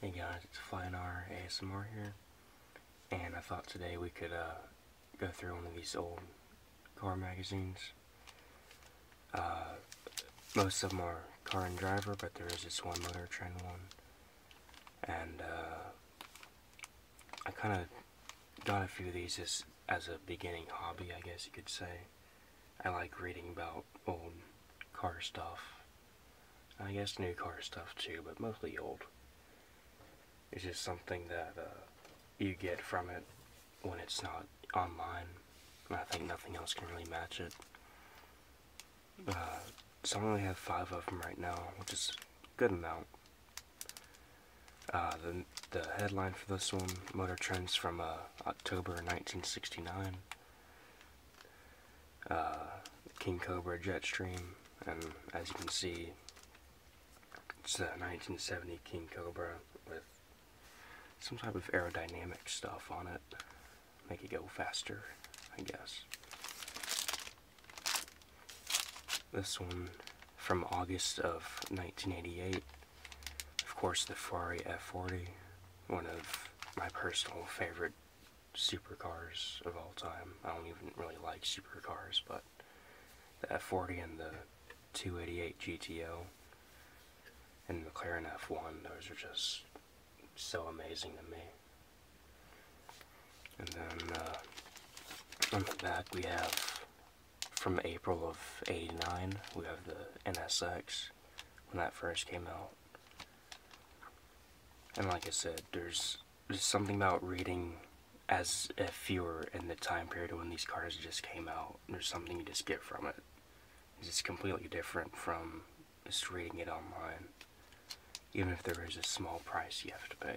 Hey guys, it's FlyNR ASMR here, and I thought today we could uh, go through one of these old car magazines. Uh, most of them are Car and Driver, but there is this one Motor Trend one, and uh, I kind of got a few of these as a beginning hobby, I guess you could say. I like reading about old car stuff I guess new car stuff too, but mostly old. It's just something that uh, you get from it when it's not online. I think nothing else can really match it. Uh, so I only have five of them right now, which is good amount. Uh, the, the headline for this one, Motor Trends from October 1969. Uh, King Cobra Jetstream, and as you can see, it's the 1970 King Cobra with some type of aerodynamic stuff on it, make it go faster, I guess. This one from August of 1988, of course the Ferrari F40, one of my personal favorite supercars of all time. I don't even really like supercars, but the F40 and the 288 GTO and the McLaren F1, those are just so amazing to me. And then uh, on the back we have, from April of 89, we have the NSX when that first came out. And like I said, there's, there's something about reading as a you in the time period when these cards just came out. There's something you just get from it. It's completely different from just reading it online. Even if there is a small price you have to pay.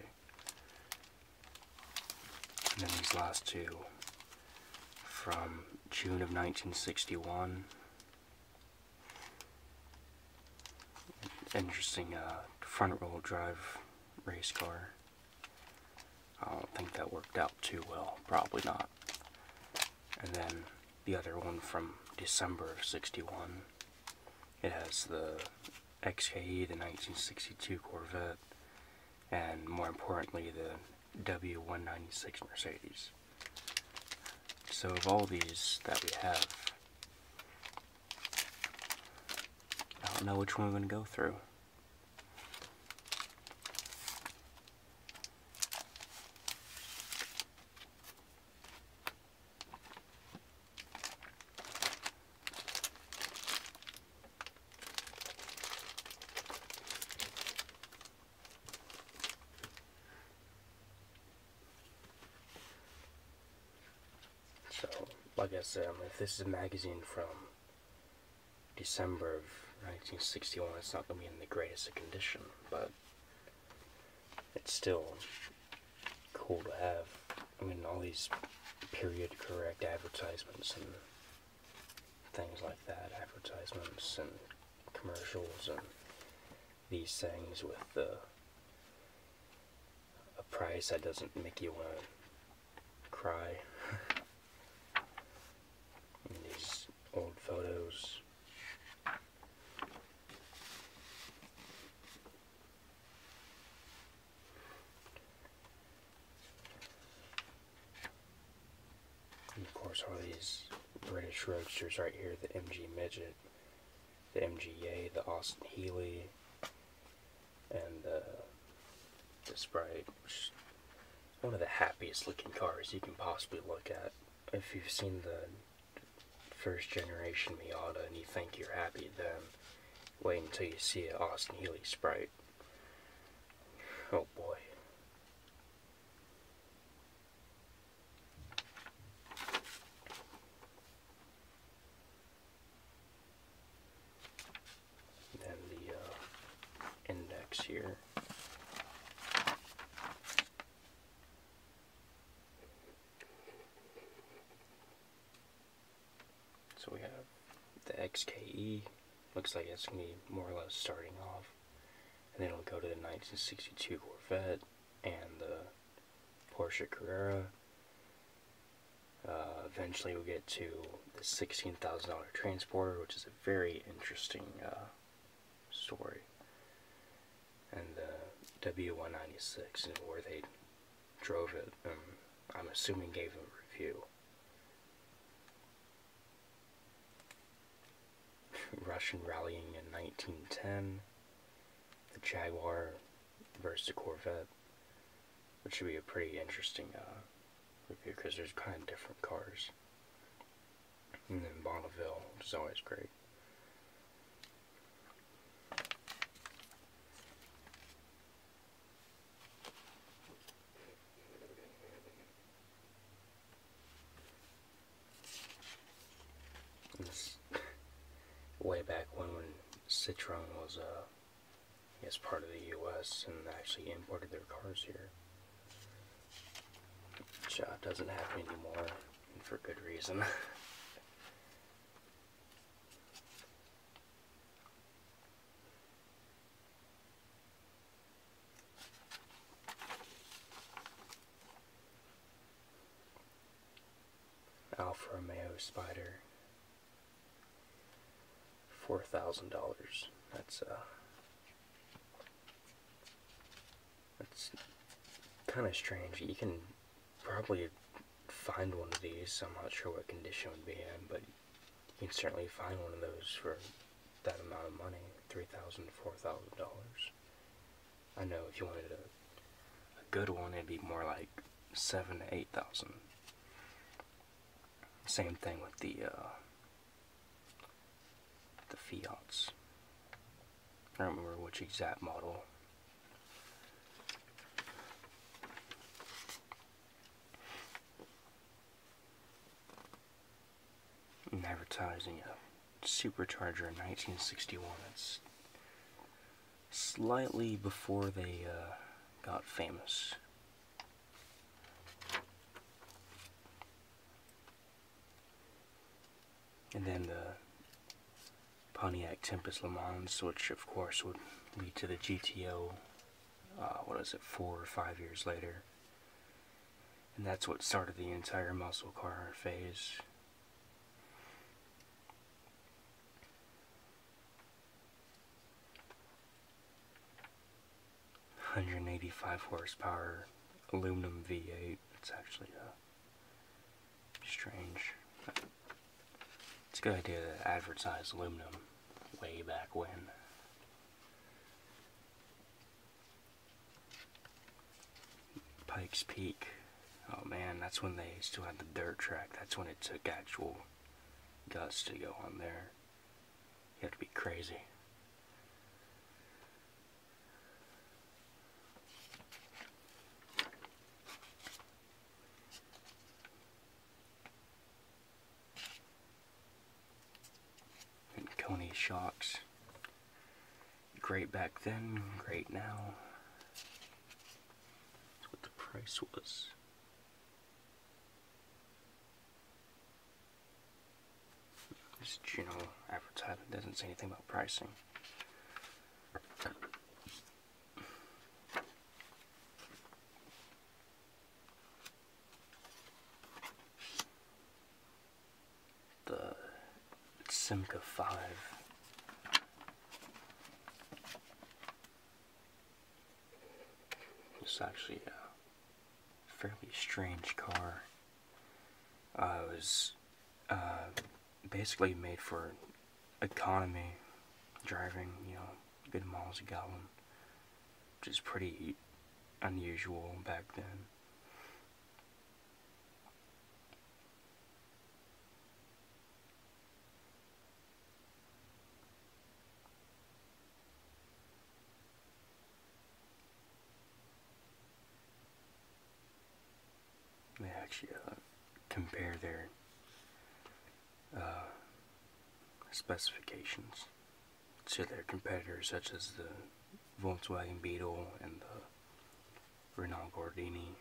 And then these last two from June of 1961 interesting uh, front wheel drive race car. I don't think that worked out too well, probably not. And then the other one from December of 61. It has the XKE, the 1962 Corvette, and more importantly the W196 Mercedes. So of all these that we have, I don't know which one we're going to go through. So, like I said, if this is a magazine from December of 1961, it's not going to be in the greatest condition, but it's still cool to have. I mean, all these period correct advertisements and things like that, advertisements and commercials and these things with a price that doesn't make you want to cry. these old photos. And of course all these British roadsters right here, the MG Midget, the MGA, the Austin Healey, and the this Sprite, one of the happiest looking cars you can possibly look at. If you've seen the first generation Miata and you think you're happy, then wait until you see an Austin Healey Sprite. Oh boy. Then the uh, index here. So we have the XKE. Looks like it's going to be more or less starting off and it'll go to the 1962 Corvette and the Porsche Carrera. Uh, eventually, we'll get to the $16,000 transporter, which is a very interesting uh, story, and the W196, where they drove it. Um, I'm assuming gave a review. Russian rallying in 1910, the Jaguar versus the Corvette, which should be a pretty interesting review uh, because there's kind of different cars. And then Bonneville, which is always great way back when, when Citroen was uh, guess part of the U.S. and actually imported their cars here, which uh, doesn't happen anymore, and for good reason. Alfa Romeo Spider, four thousand dollars. That's uh, that's kind of strange. You can probably find one of these. I'm not sure what condition would be in, but you can certainly find one of those for that amount of money three thousand four thousand dollars i know if you wanted a, good one it'd be more like seven to eight thousand same thing with the uh, the fiats i don't remember which exact model advertising a uh, supercharger in 1961. It's slightly before they uh, got famous. And then the Pontiac Tempest Le Mans, which of course would lead to the GTO, uh, what is it, four or five years later. And that's what started the entire muscle car phase. Hundred and eighty five horsepower aluminum V eight. It's actually a uh, strange. It's a good idea to advertise aluminum way back when. Pikes Peak. Oh man, that's when they still had the dirt track. That's when it took actual guts to go on there. You have to be crazy. And Coney shocks. Great back then, great now. That's what the price was. This general advertisement doesn't say anything about pricing the Simca 5. It's actually a fairly strange car. Uh, it was uh, basically made for economy driving, you know, good miles a gallon which is pretty unusual back then. They actually uh, compare their uh, specifications to their competitors such as the Volkswagen Beetle and the Renault Gordini.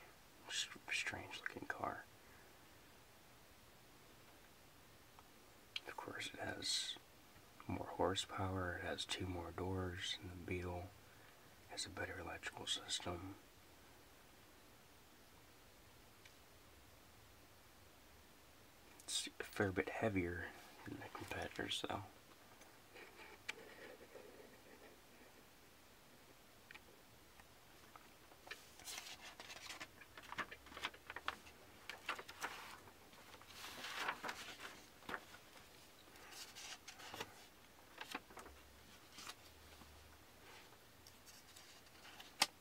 Strange looking car. Of course, it has more horsepower, it has two more doors than the Beetle, it has a better electrical system. It's a fair bit heavier than the competitors though.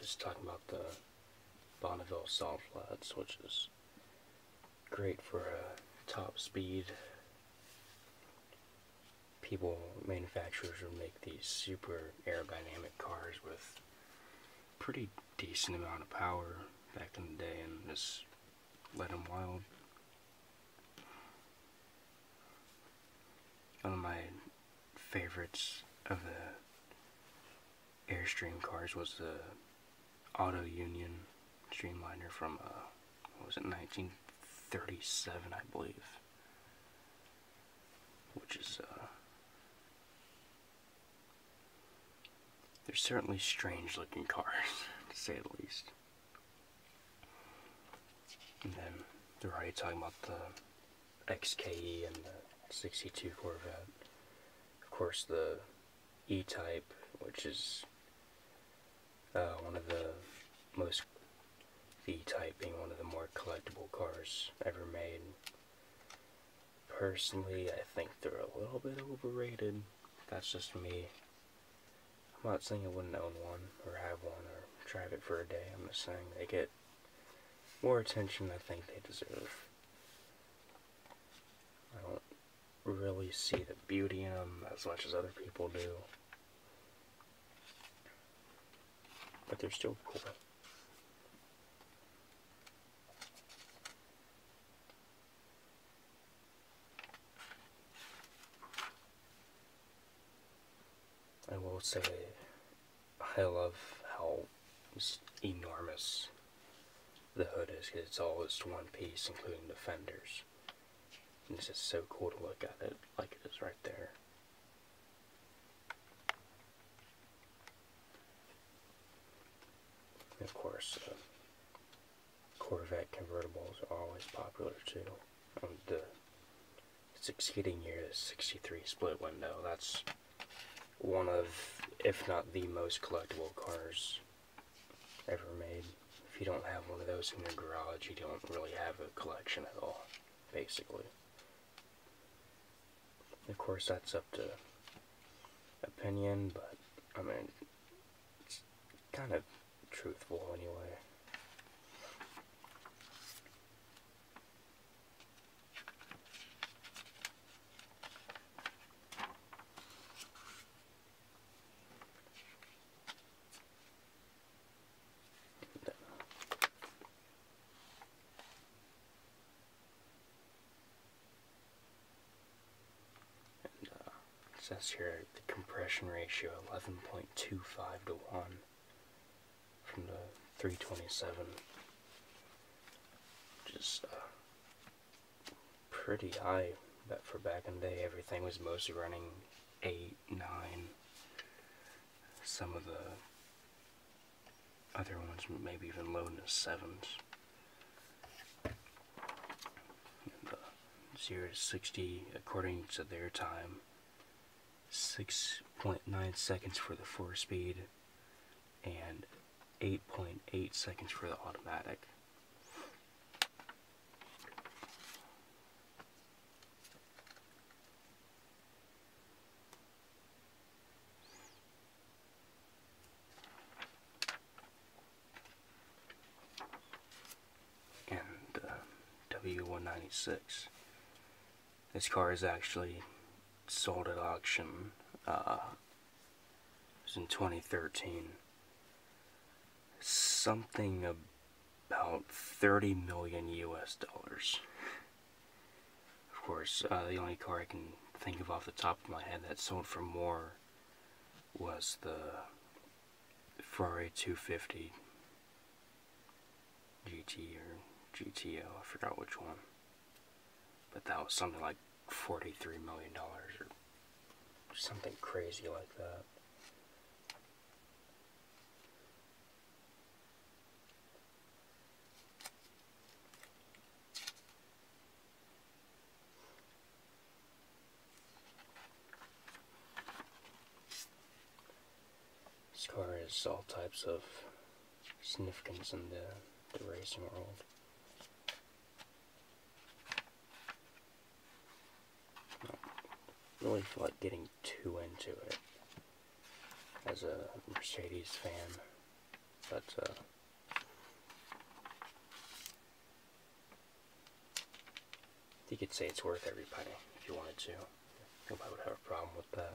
just talking about the Bonneville Salt flats, which is great for uh, top speed. People, manufacturers will make these super aerodynamic cars with pretty decent amount of power back in the day and just let him wild. One of my favorites of the Airstream cars was the Auto Union Streamliner from, uh, what was it, 1937, I believe. Which is, uh, they're certainly strange looking cars, to say the least. And then they're already talking about the XKE and the 62 Corvette. Of course, the E Type, which is uh, one of the most the type being one of the more collectible cars ever made. Personally, I think they're a little bit overrated. That's just me. I'm not saying I wouldn't own one, or have one, or drive it for a day. I'm just saying they get more attention I think they deserve. I don't really see the beauty in them as much as other people do but they're still cool. I will say I love how enormous the hood is it's all just one piece including the fenders. And it's just so cool to look at it like it is right there of course, uh, Corvette convertibles are always popular too. Um, the succeeding year, the 63 split window, that's one of, if not the most collectible cars ever made. If you don't have one of those in your garage, you don't really have a collection at all, basically. Of course, that's up to opinion, but I mean, it's kind of truthful anyway. And uh, it says here the compression ratio 11.25 to 1 from the 327. Just uh, pretty high. But for back in the day, everything was mostly running 8, 9. Some of the other ones maybe even low in the sevens. And, zero to sixty according to their time. 6.9 seconds for the four speed and 8.8 seconds for the automatic and uh, W196. This car is actually sold at auction. Uh, it was in 2013. Something about 30 million US dollars. Of course, uh, the only car I can think of off the top of my head that sold for more was the Ferrari 250 GT or GTO, I forgot which one. But that was something like $43 million or something crazy like that. This car has all types of significance in the, racing world. really like getting too into it as a Mercedes fan, but uh, you could say it's worth every penny if you wanted to. Nobody would have a problem with that.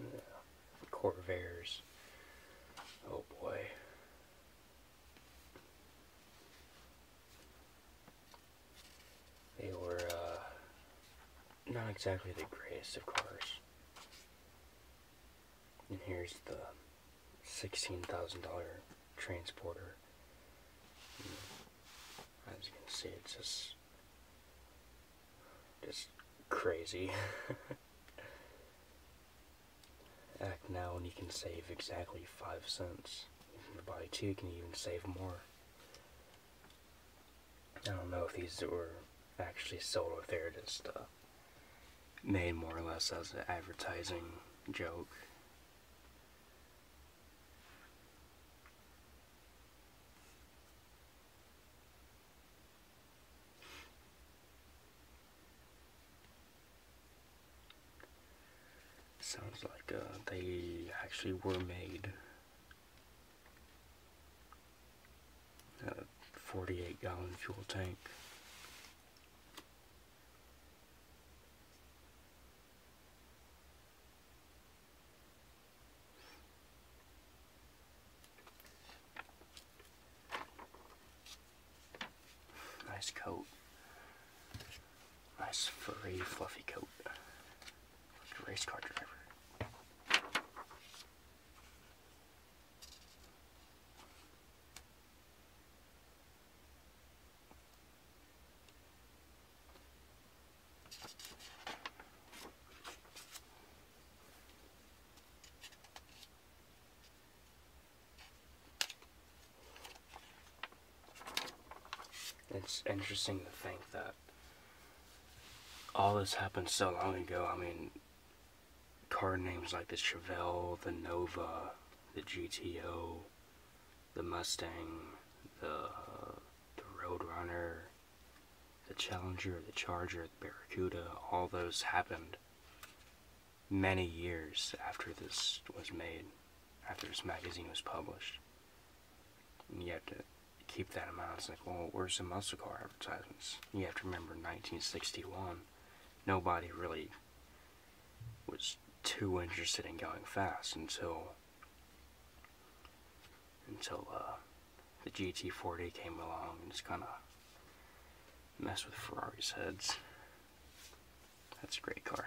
Yeah. Corvairs. Oh boy. They were uh, not exactly the greatest of cars. And here's the $16,000 transporter. As you can see, it's just just crazy. Act now and you can save exactly 5 cents. If you buy 2 you can even save more. I don't know if these were actually sold or they're just uh, made more or less as an advertising joke. Sounds like uh, they actually were made. Uh, 48 gallon fuel tank. Nice coat. Nice furry, fluffy coat. race car driver. It's interesting to think that all this happened so long ago. I mean, car names like the Chevelle, the Nova, the GTO, the Mustang, the, uh, the Roadrunner, the Challenger, the Charger, the Barracuda, all those happened many years after this was made, after this magazine was published. And you have to keep that in mind. It's like, well, where's the muscle car advertisements? You have to remember 1961, nobody really was too interested in going fast until until uh, the GT40 came along and just kind of messed with Ferrari's heads. That's a great car.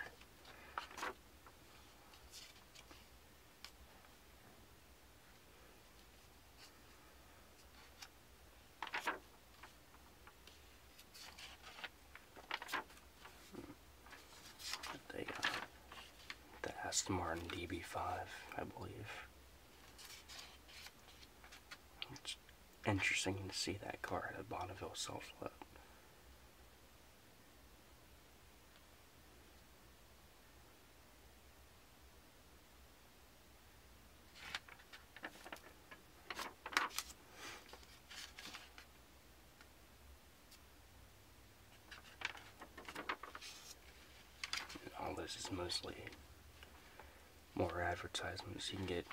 The, uh, the Aston Martin DB5, I believe. It's interesting to see that car at a Bonneville Salt float all this is mostly more advertisements. You can get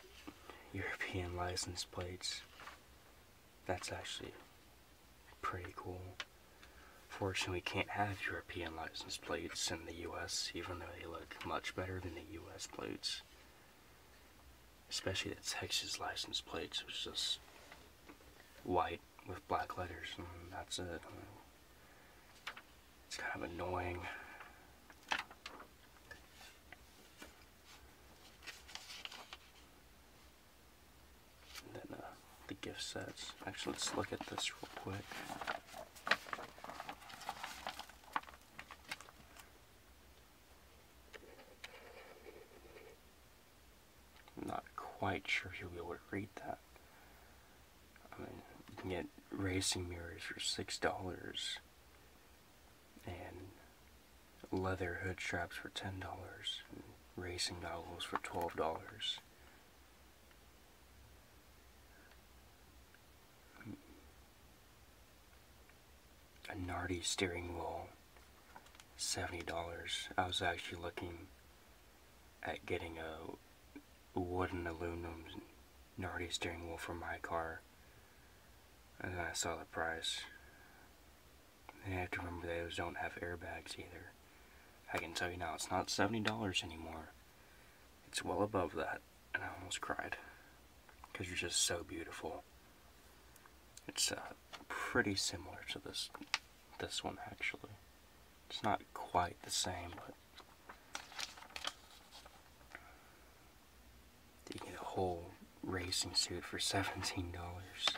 European license plates. That's actually pretty cool. Fortunately, we can't have European license plates in the US, even though they look much better than the US plates. Especially the Texas license plates, which is just white with black letters, and that's it. It's kind of annoying. then uh, the gift sets. Actually, let's look at this real quick. I'm not quite sure you'll be able to read that. I mean, you can get racing mirrors for six dollars, and leather hood straps for ten dollars, racing goggles for twelve dollars. A Nardi steering wheel $70. I was actually looking at getting a wooden aluminum gnarly steering wheel for my car. And then I saw the price. And I have to remember those don't have airbags either. I can tell you now, it's not $70 anymore. It's well above that. And I almost cried. Because you're just so beautiful. It's uh, pretty similar to this this one actually. It's not quite the same, but you get a whole racing suit for seventeen dollars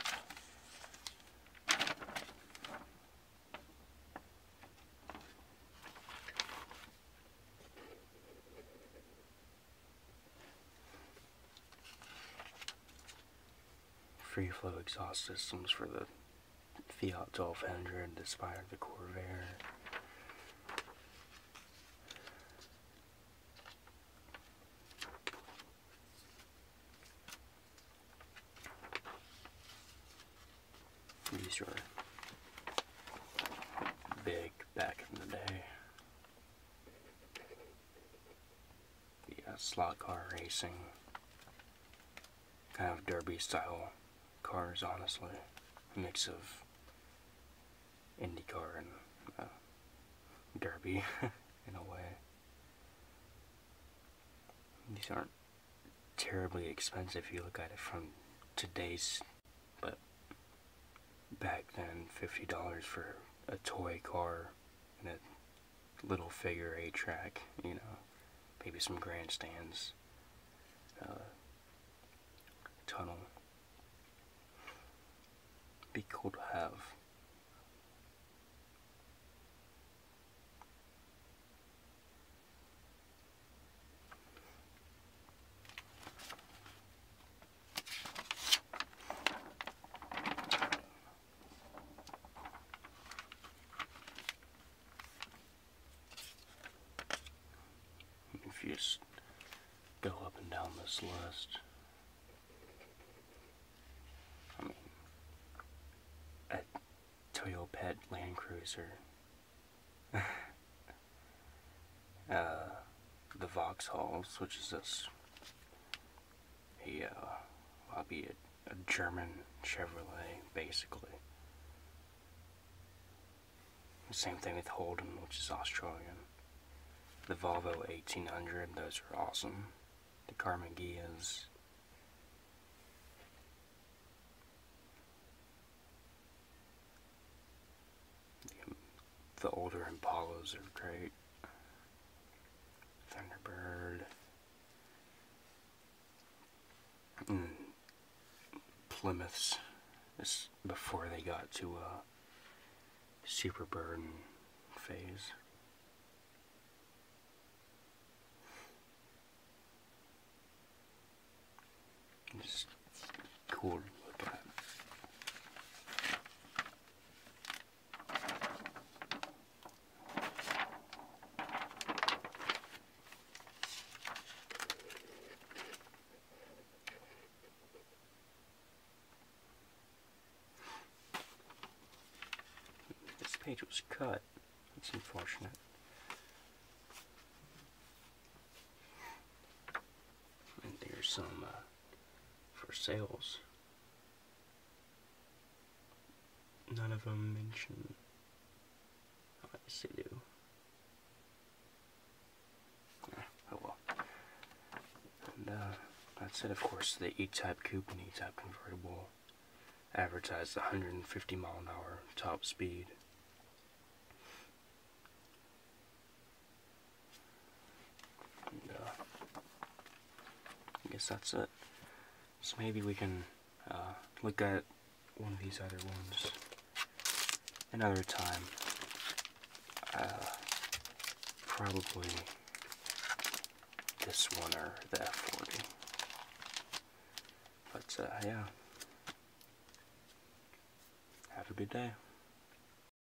free flow exhaust systems for the Fiat 1200, the the Corvair. These were big back in the day the slot car racing kind of derby style cars, honestly. mix of IndyCar and uh, derby in a way. These aren't terribly expensive if you look at it from today's, but back then $50 for a toy car in little figure eight track, you know, maybe some grandstands, uh, tunnel. Be cool to have. If you just go up and down this list, I mean, a Toyopet Land Cruiser, uh, the Vauxhalls, which is this a, I'll be a, a German Chevrolet, basically. Same thing with Holden, which is Australian. The Volvo 1800, those are awesome. The Karma um, the older Impalas are great. Thunderbird. Hmm. Plymouths. This before they got to uh, Superbird phase. Just cool to look at. This page was cut. That's unfortunate. And there's some uh, for sales. None of them mention. I guess do. Eh, oh well. And uh, that's it. Of course, the E-Type coupe and E-Type convertible advertised 150 mile an hour top speed. I guess that's it. So maybe we can uh, look at one of these other ones another time. Uh, probably this one or the F40. But uh, yeah, have a good day.